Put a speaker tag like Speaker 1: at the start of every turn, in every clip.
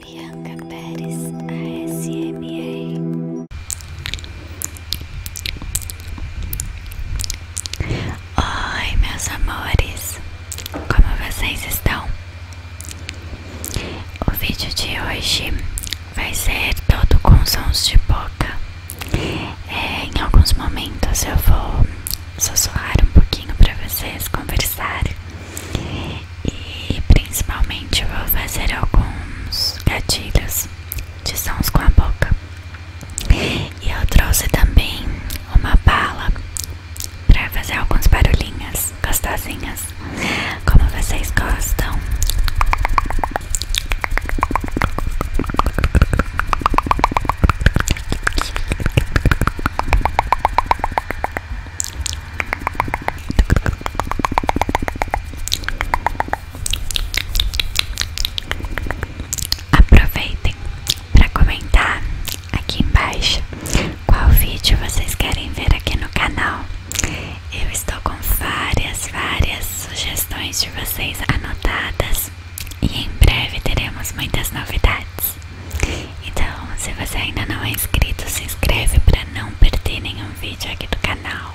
Speaker 1: Bianca Pérez ASMR Oi meus amores, como vocês estão? O vídeo de hoje vai ser todo com sons de boca é, Em alguns momentos eu vou sussurrar um pouquinho para vocês conversar e principalmente vou fazer alguns gatilhos de sons com a boca. E eu trouxe também uma bala para fazer alguns barulhinhas gostosinhas, como vocês gostam. Aproveitem para comentar aqui embaixo qual vídeo vocês querem ver aqui no canal. Eu estou com várias, várias sugestões de vocês anotadas e em breve teremos muitas novidades. Então, se você ainda não é inscrito, se inscreve para não perder nenhum vídeo aqui do canal.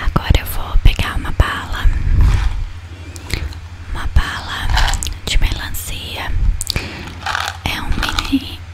Speaker 1: Agora eu vou pegar uma bala, uma bala de melancia. É um mini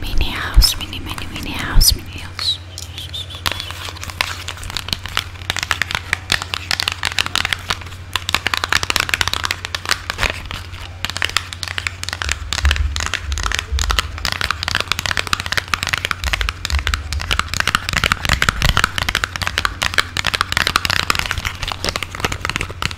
Speaker 1: Mini house, mini, mini, mini house, mini house.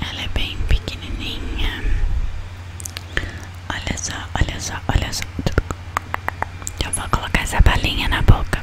Speaker 1: Ela é bem pequenininha. Olha só, olha só, olha só. Eu vou colocar essa balinha na boca.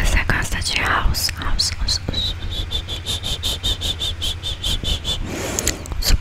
Speaker 1: Você gosta de house? house, house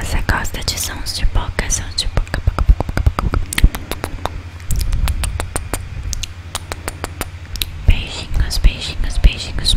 Speaker 1: Você gosta de sons de boca? Sons de boca, boca, boca, boca, boca. Beijinhos, beijinhos, beijinhos.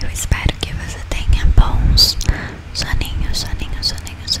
Speaker 1: Eu espero que você tenha bons soninhos, soninhos, soninhos,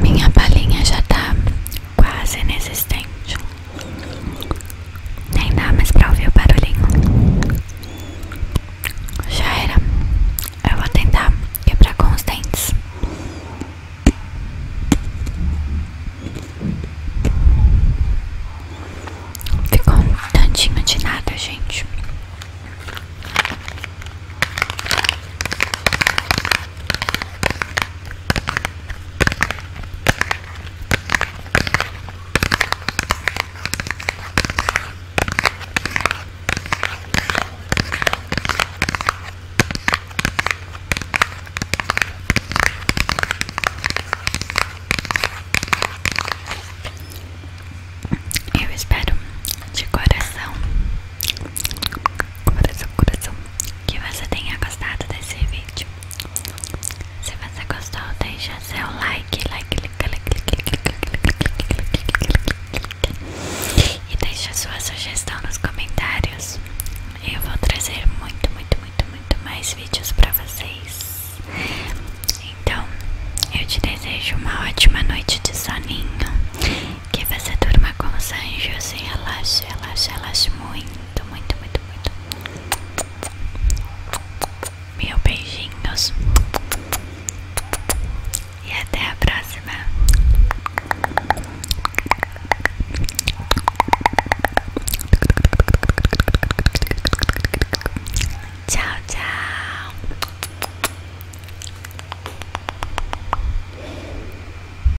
Speaker 1: Minha balinha já tá quase inexistente. Nem dá mais pra ouvir o barulhinho. Já era. Eu vou tentar quebrar com os dentes. Ficou um tantinho de nada, gente. Eu espero de coração, coração, coração, que você tenha gostado desse vídeo. Se você gostou, deixe seu like, like, like, like, like, like, e deixa sua sugestão nos comentários. Eu vou trazer muito, muito, muito, muito mais vídeos para vocês. Então, eu te desejo uma ótima noite de soninho, que você durma com os anjos e relaxe, relaxe, relaxe muito muito, muito, muito, muito. Mil beijinhos. E até a próxima. Tchau, tchau.